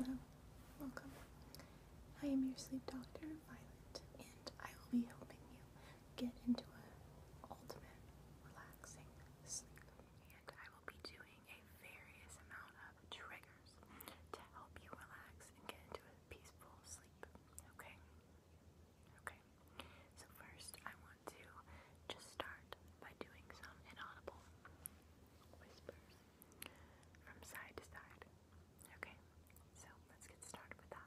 Hello, welcome. I am your sleep doctor, Violet, and I will be helping you get into an ultimate relaxing sleep. And I will be doing a various amount of triggers to help you relax and get into a peaceful sleep. Okay? Okay. So first I want to just start by doing some inaudible whispers from side to side. Okay, so let's get started with that.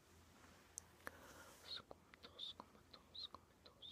Comentos, comentos, comentos,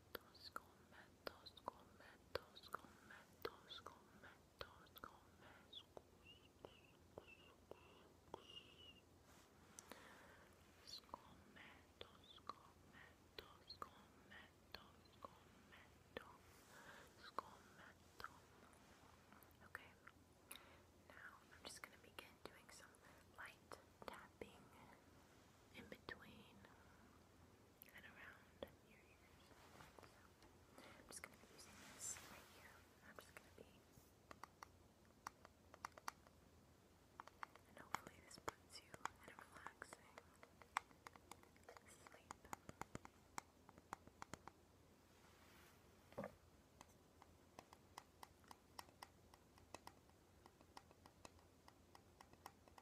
cometos, cometos, cometos, cometos, cometos, comes, cometos, cometos, cometos, cometo, cometo. Okay, now I'm just going to begin doing some light tapping in between and around your ears. So, I'm just going to be using this right here. I'm just going to be. And hopefully, this puts you in a relaxing sleep.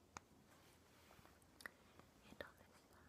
And on this side. Okay.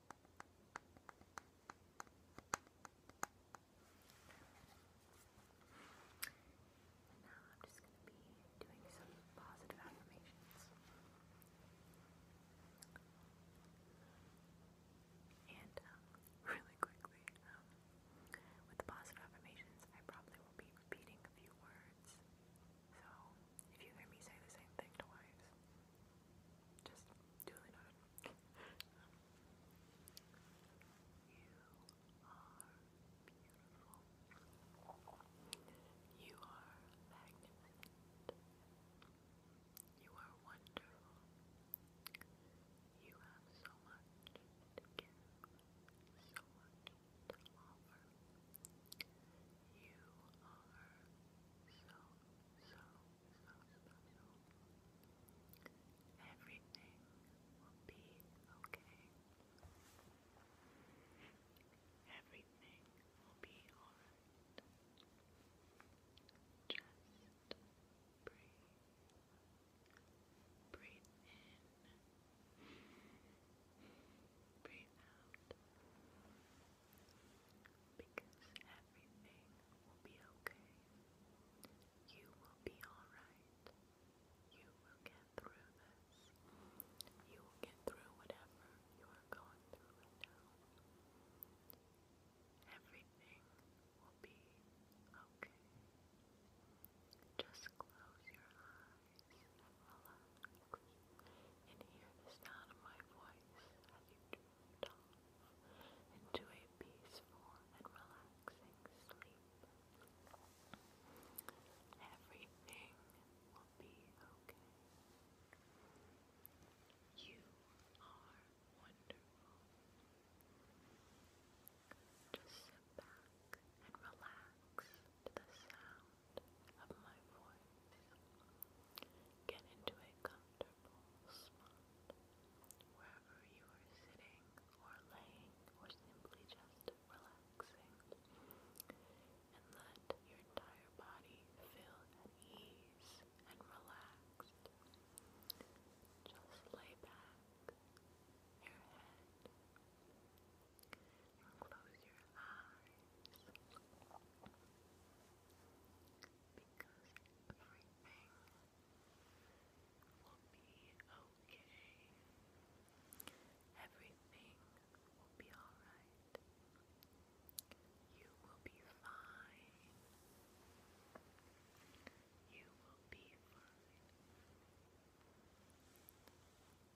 And now I'm just going to be doing some positive affirmations. And um, really quickly, um, with the positive affirmations, I probably will be repeating a few words. So, if you hear me say the same thing to just duly noted. um, you are beautiful. You are magnificent. You are wonderful. You have so much to give, so much to offer. You are so, so, so special. Everything will be okay. Everything will be alright. Just breathe. Breathe in. Breathe out. Because everything will be okay. You will be alright. You will get through this. You will get through whatever you are going through right now. Everything will be okay. Just close your eyes and hear the sound of my voice as you drift off into a peaceful and relaxing sleep. Everything will be okay. You are wonderful. Just sit back and relax to the sound of my voice. Get into a comfortable spot, wherever you are sitting or laying or simply just relaxing, and let your entire body feel at ease and relaxed. Just lay back your head and close your eyes because everything will be okay. Everything will be alright. You will be fine. You will be fine.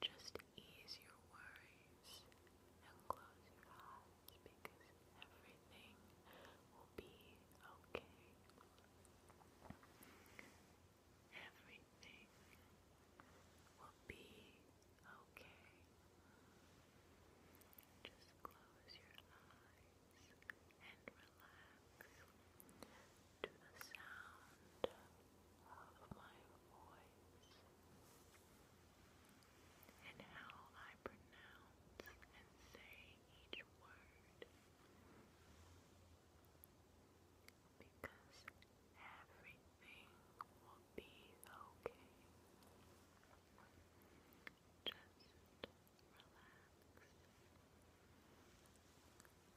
Just ease your worries and close your eyes because everything will be okay. Everything will be okay. Just close your eyes and relax to the sound of my voice and how I pronounce and say each word. Because everything will be okay. Just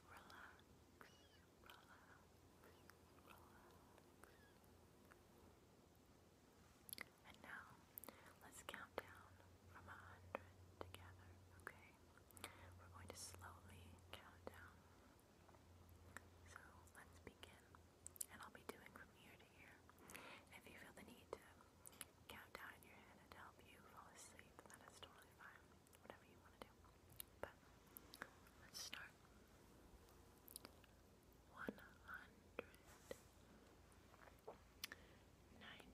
relax. Relax, relax, relax. And now, let's count down from a hundred together, okay? We're going to slowly count down. So, let's begin. And I'll be doing from ear to ear. if you feel the need to count down in your head to help you fall asleep, that is totally fine. Whatever you want to do. But, let's start one hundred ninety nine,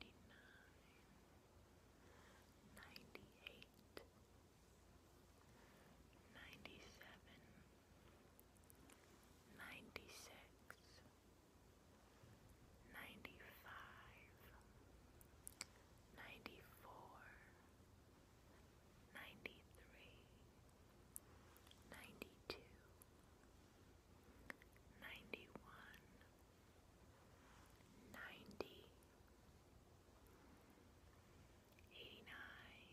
ninety eight, ninety seven, ninety six, ninety five, ninety four. 93 ninety-two, ninety-one, ninety, eighty-nine,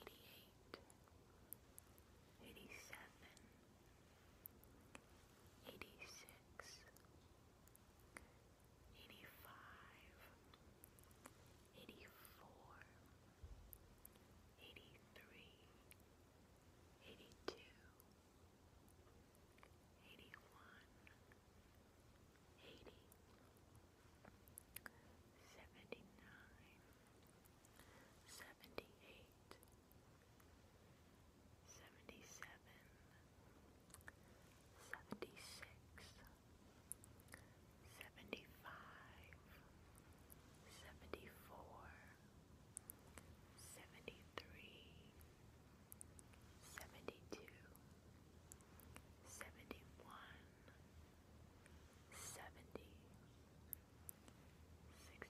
eighty-eight, eighty-seven, eighty-six, eighty-five, eighty-four. 85 86 85 eighty-three, eighty-two, eighty-one, eighty, seventy-nine, seventy-eight, seventy-seven, seventy-six seventy-five, seventy-four, seventy-three, seventy-two, seventy-one, seventy,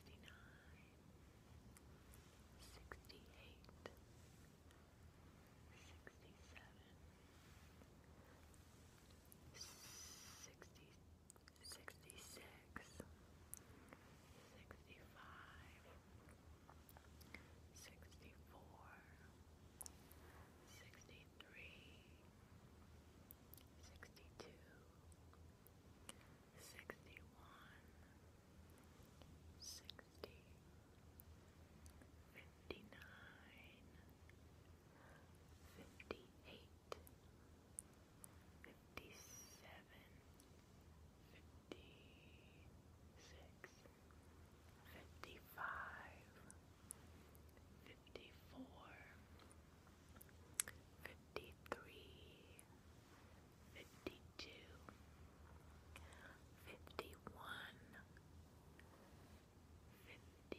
sixty-nine, sixty-eight, sixty-seven. 67 sixty sixty six sixty five sixty four sixty three sixty two sixty one sixty fifty fifty-nine, fifty-eight, fifty-seven, fifty-six, fifty-five, fifty-four, fifty-three, fifty-two, fifty-one, fifty, fifty-two,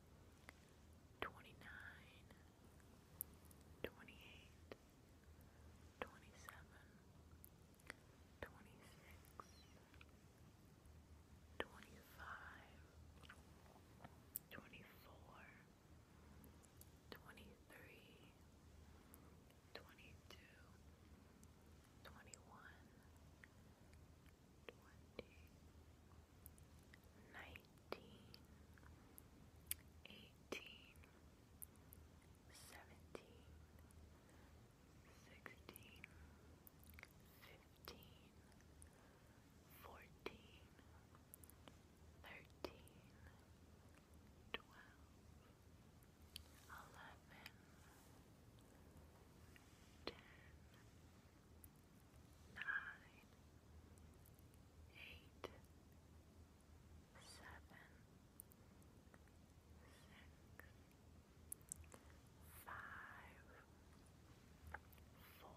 twenty-nine, twenty-eight, twenty-seven, twenty-six, twenty-five, twenty-four, twenty-three, twenty-two, twenty-one, twenty. 21 nineteen, eighteen, seventeen, sixteen, fifteen, fourteen, thirteen, twelve, eleven, ten. 9 nine, eight, seven, six, five, four,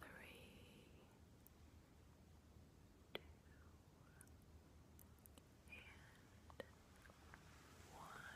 three, two, and one.